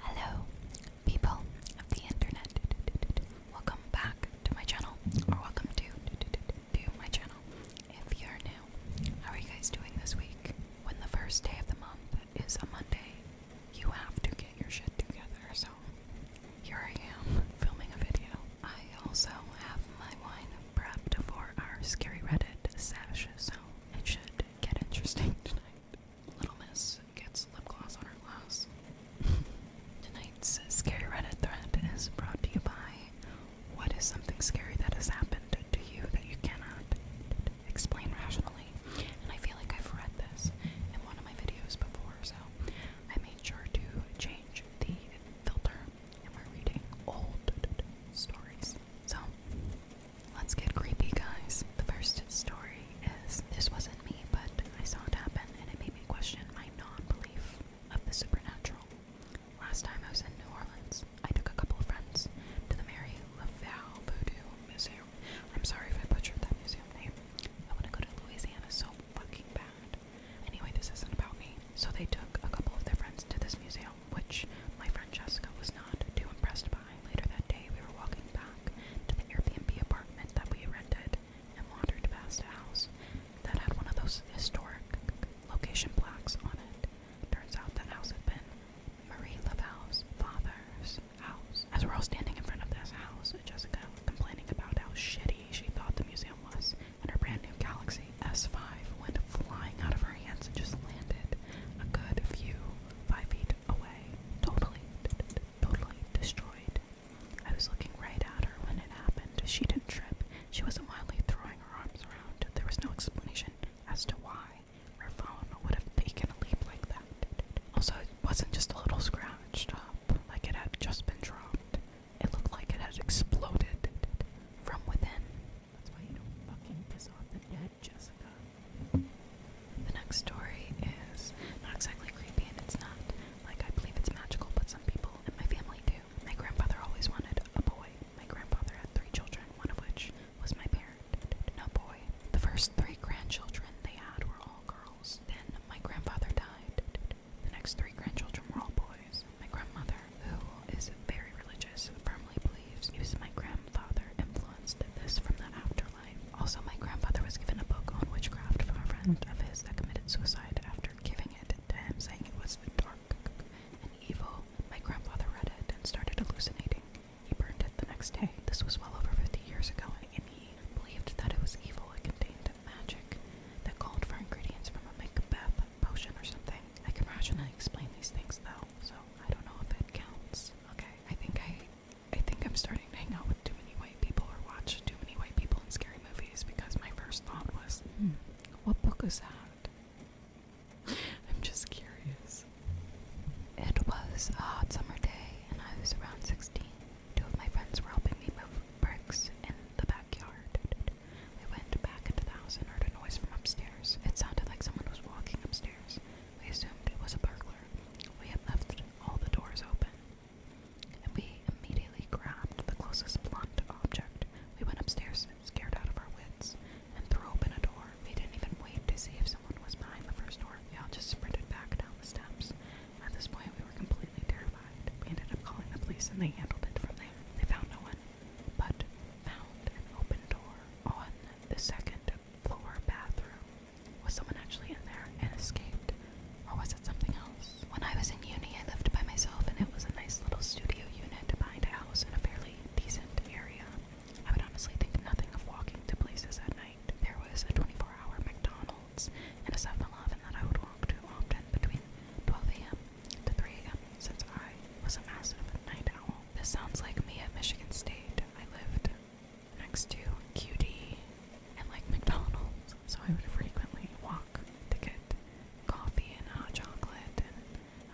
Hello, people of the internet. Welcome back to my channel, or welcome to my channel. If you're new, how are you guys doing this week? When the first day of the month is a Monday, you have to get your shit together. So here I am filming a video. I also have my wine prepped for our scary Reddit sesh, so it should get interesting tonight. Little Miss gets lip gloss on her glass. Tonight's scary Reddit thread is brought to you by What is something scary that has happened to you that you cannot explain rationally? And I feel like I've read this in one of my videos before, so I made sure to change the filter and we're reading old stories. So Let's get creepy, guys. The first story is this wasn't me, but I saw it happen and it made me question my non belief of the supernatural. Last time I was in New Orleans, I took a couple of friends to the Mary LaValle Voodoo Museum. I'm sorry if I butchered that museum name. I want to go to Louisiana so fucking bad. Anyway, this isn't about me. So they took a couple of their friends to this museum, which my friend Jessica was not too impressed by passed by. Later that day, we were walking back to the Airbnb apartment that we rented and wandered past a house that had one of those historic location plaques on it. Turns out that house had been Marie Laval's father's house. As we're all standing in front of this house, Jessica was complaining about how shitty she thought the museum was, and her brand new Galaxy S5 went flying out of her hands and just landed a good few, five feet away, totally, totally destroyed. I was looking right at her when it happened. She didn't trip. She wasn't wildly throwing her arms around. There was no explanation as to why her phone would have taken a leap like that. Also, it wasn't just a little scratched up, like it had just been dropped. It looked like it had exploded from within. That's why you don't fucking piss off the dead. Good, Jessica. The next story is not exactly creepy, and it's not. Like, I believe it's magical, but some people in my family do. My grandfather always wanted a boy. My grandfather had three children, one of which was my parent. No boy. The first three grandchildren they had were all girls. Then my grandfather died. The next three grandchildren were all boys. My grandmother, who is very religious, for firmly believes it was my grandfather influenced this from the afterlife. Also, my grandfather was given a book on witchcraft from a friend of his that committed suicide after giving it to him, saying it was dark and evil. My grandfather read it and started hallucinating. He burned it the next day. This was well over 50 years ago, and he believed that it was evil. It contained magic that called for ingredients from a Macbeth potion or something. I can rationally explain these things, though, so I don't know if it counts. Okay, I think I, I think I'm starting to hang out with too many white people or watch too many white people in scary movies because my first thought was, hmm, what book is that? I'm just curious. It was a hot summer day, and I was around 16. Two of my friends were helping me move bricks in the backyard. We went back into the house and heard a noise from upstairs. It sounded like someone was walking upstairs. We assumed it was a burglar. We had left all the doors open. And we immediately grabbed the closest blunt object. We went upstairs, scared out of our wits, and threw open a door. We didn't even wait to see if someone was behind the first door. We all just sprinted back down the steps. At this point, we were completely terrified. We ended up calling the police, and they handled it from there. They found no one, but found an open door on the second floor bathroom. Was someone actually in there and escaped? Or was it something else? When I was in uni, I lived by myself, and it was a nice little studio unit behind a house in a fairly decent area. I would honestly think nothing of walking to places at night. There was a 24 hour McDonald's and a 7 Eleven that I would walk to often between 12 a.m. to 3 a.m. since I was a massive night owl this sounds like me at Michigan State. I lived next to QD and like McDonald's, so I would frequently walk to get coffee and hot chocolate and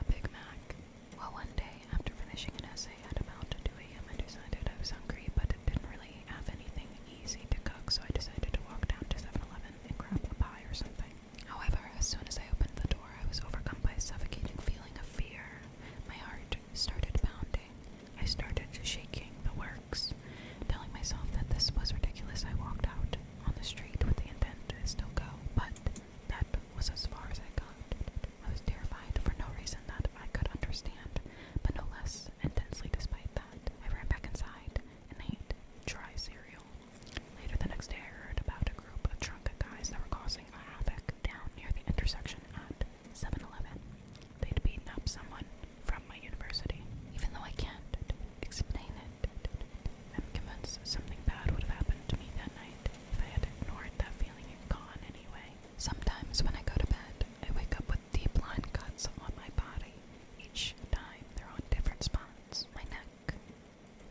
a Big Mac. Well, one day after finishing an essay at about 2 a.m., I decided I was hungry, but didn't really have anything easy to cook, so I decided to walk down to 7 Eleven and grab a pie or something. However, as soon as I opened the door, I was overcome by a suffocating feeling of fear. My heart started pounding. I started shaking the works. Telling myself that this was ridiculous, I walked out on the street with the intent to still go, but that was as far as I got. I was terrified for no reason that I could understand, but no less intensely despite that. I ran back inside and ate dry cereal. Later the next day, I heard about a group of drunk guys that were causing a havoc down near the intersection at 7 Eleven. They'd beaten up someone from my university. Even though I can't explain it, I'm convinced something bad would have happened to me that night if I had ignored that feeling and gone anyway. Sometimes when I go to bed, I wake up with deep line cuts on my body. Each time they're on different spots my neck,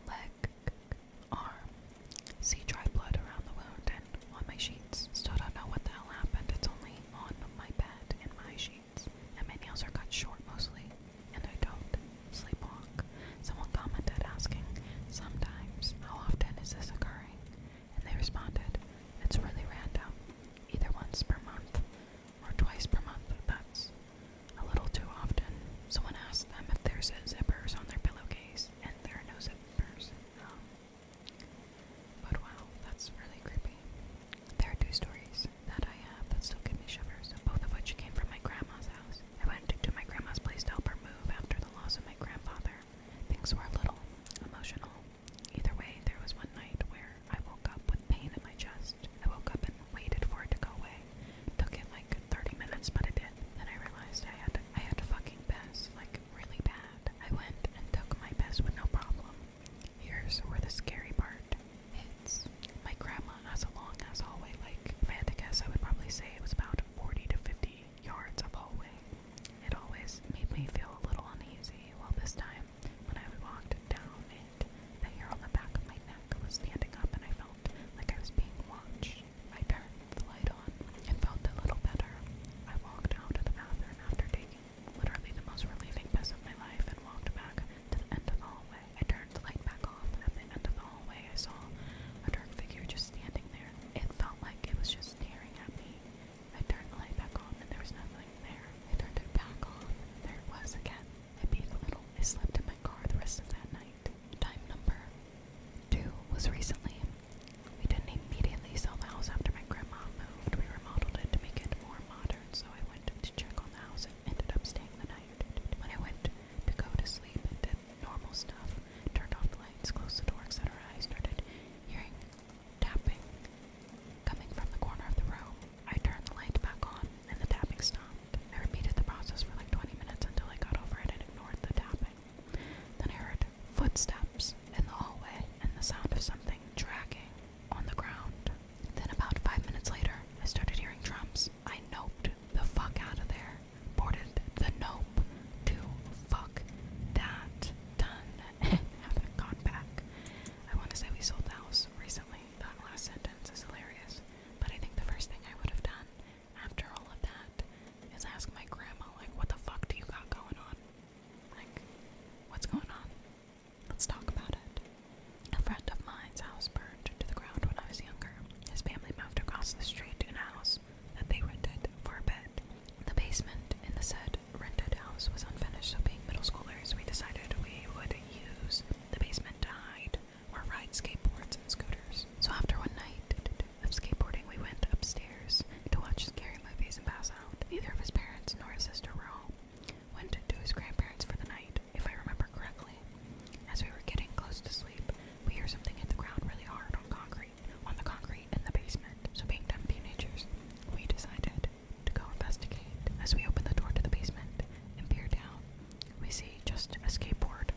leg, arm. See dry blood around the wound and on my sheets. Still don't know what the hell happened. It's only on my bed and my sheets. And my nails are cut short mostly. And I don't sleepwalk. Someone commented asking, sometimes, how often is this occurring? And they responded, it's really random. Either once per month or twice per month. That's a little too often. Someone asked them if there's zippers on their pillowcase and there knows a person. but wow, that's really creepy. There are two stories that I have that still give me shivers, both of which came from my grandma's house. I went to my grandma's place to help her move after the loss of my grandfather. Things were a little emotional. Either way, there was one night where I woke up with pain in my chest. I woke up and waited for it to go away day. Took it like 30 minutes, but it did. Then I realized I had I had to fucking piss, like really bad. I went and took my piss with no problem. Here's where the scary part hits. My grandma has a long ass hallway. Like if I had to guess, I would probably say it was about 40 to 50 yards of hallway. It always made me feel a little uneasy. Well, this time when I walked down it, the hair on the back of my neck was standing up, and I felt like I was being watched. I turned the light on and felt a little better. I walked out of the bathroom after taking literally the most relieving piss of my life and walked back to the end of the hallway. I turned the light back off. At the end of the hallway, I saw a dark figure just standing there. It felt like it was just staring at me. I turned the light back on and there was nothing there. I turned it back off. There it was again. I beat a little. I slept in my car the rest of that night. Time number two was recently. We didn't immediately sell the house after my grandma moved. We remodeled it to make it more modern, so I went to check on the house and ended up staying the night. When I went to go to sleep and did normal stuff, turned off the lights, closed the door, etc., I started hearing tapping coming from the corner of the room. I turned the light back on and the tapping stopped. I repeated the process for like 20 minutes until I got over it and ignored the tapping. Then I heard footsteps in the hallway and the sound of something dragging on the ground. Then, about five minutes later, I started hearing drums. I noped the fuck out of there. Boarded the nope to fuck that done and haven't gone back. I want to say we sold the house recently. That last sentence is hilarious. But I think the first thing I would have done after all of that is ask my grandma, like, what the fuck do you got going on? Like, what's going on? Let's talk about it. A friend of mine's house burned to the ground when I was younger. His family moved across the street to a house that they rented for a bit. The basement in the said rented house was unfinished, so being middle schoolers, we decided we would use the basement to hide we ride skateboards and scooters. So after one night of skateboarding, we went upstairs to watch scary movies and pass out. Neither of his parents nor his sister were home. Went to his grandparents for the night, if I remember correctly. As we were getting close to sleep, we hear something hit the ground really hard on concrete, on the concrete in the basement. So being dumb teenagers, we decided to go investigate. As we open the door to the basement and peer down, we see just a skateboard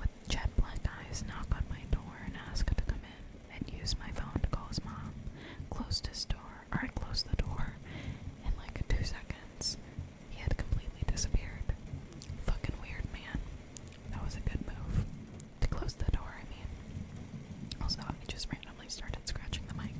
with jet black eyes knock on my door and ask to come in, and use my phone to call his mom. Closed his door, or I closed the door, in like two seconds. He had completely disappeared. Fucking weird, man. That was a good move. To close the door, I mean. Also, I just randomly started scratching the mic.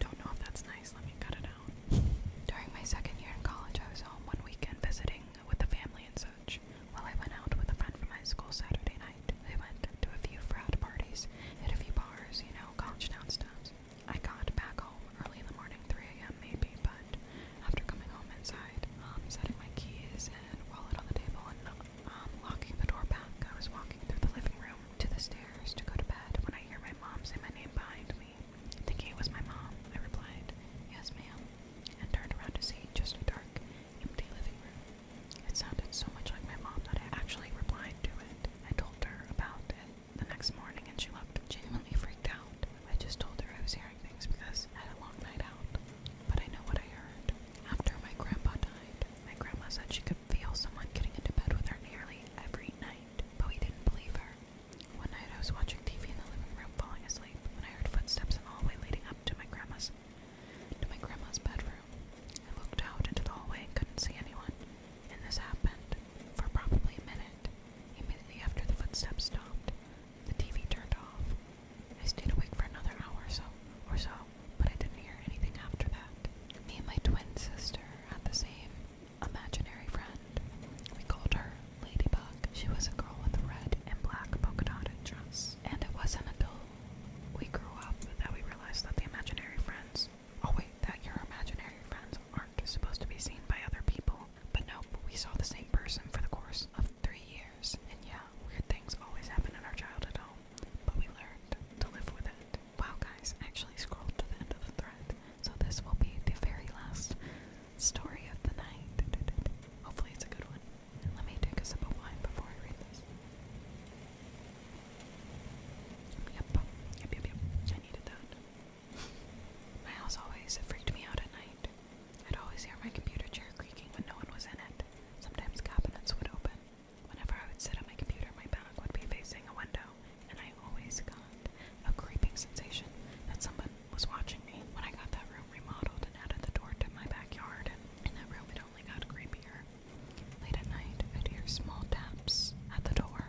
Don't know if that's nice, let me cut it out. During my second year in college, I was home one weekend visiting with the family and so coach. Well, I went out with a friend from high school Saturday night. We went to a few frat parties, hit a few bars, you know, college town stuff. I got back home early in the morning, 3 a.m. maybe, but after coming home inside, um, setting my keys and wallet on the table and um, locking the door back, I was walking through the living room to the stairs to go to bed when I hear my mom say my name behind me. Thinking it was my mom, I replied, Yes, ma'am and turned around to see just a dark, empty living room. It sounded so much like my mom that I actually replied to it. I told her about it the next morning and she looked genuinely freaked out. I just told her I was hearing things because I had a long night out. But I know what I heard. After my grandpa died, my grandma said she could feel someone getting into bed with her nearly every night, but we didn't believe her. One night I was watching TV in the living room falling asleep when I heard footsteps in the hallway leading to my grandma's to my grandma's bedroom. I looked out into the hallway and couldn't see anyone. And this happened for probably a minute. Immediately after the footsteps stopped, the TV turned off. I stayed awake for another hour or so, or so, but I didn't hear anything after that. Me and my twin sister had the same imaginary friend. We called her Ladybug. She was a girl with a red and black polka dotted dress. And it wasn't until we grew up that we realized that the imaginary friends oh wait, that your imaginary friends aren't supposed to be seen by other people. But no, we saw the same person for the course of three years. And yeah, weird things always happen in our childhood home. But we learned to live with it. Wow guys, actually scrolled to the end of the thread. So this will be the very last story of the night. Hopefully it's a good one. Let me take a sip of wine before I read this. Yep, yep, yep, yep. I needed that. My house always freaked me out at night. I'd always hear my computer chair creaking when no one was in it. Sometimes cabinets would open. Whenever I would sit at my computer, my back would be facing a window, and I always got a creeping sensation that someone was watching me when I got that room remodeled and added the door to my backyard. In that room, it only got creepier. Late at night, I'd hear small taps at the door.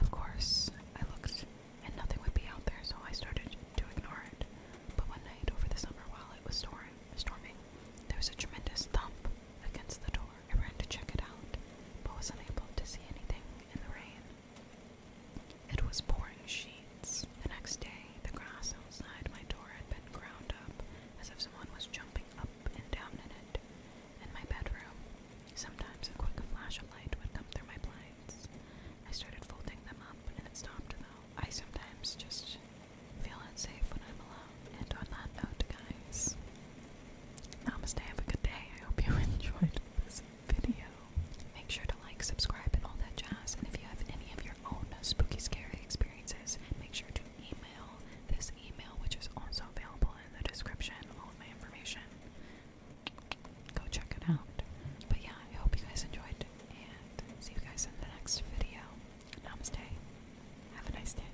Of course, I looked and nothing would be out there, so I started to ignore it. But one night over the summer, while it was storming, there was a tremendous thump against the door. I ran to check it out, but was unable to see anything in the rain. It was pouring sheets. The next day, the grass outside my door had been ground up as if someone was jumping up and down in it. In my bedroom, sometimes a quick flash of light would come through my blinds. I started folding them up, and it stopped though. I sometimes just feel unsafe when I'm alone. And on that note, guys, I'm stay. have a good day. I hope you enjoyed this video. Make sure to like, subscribe, and all that jazz. And if you have any of your own spooky, scary experiences, make sure to email this email, which is also available in the description. All of my information. Go check it out. But yeah, I hope you guys enjoyed, and see you guys in the next video. Namaste. Have a nice day.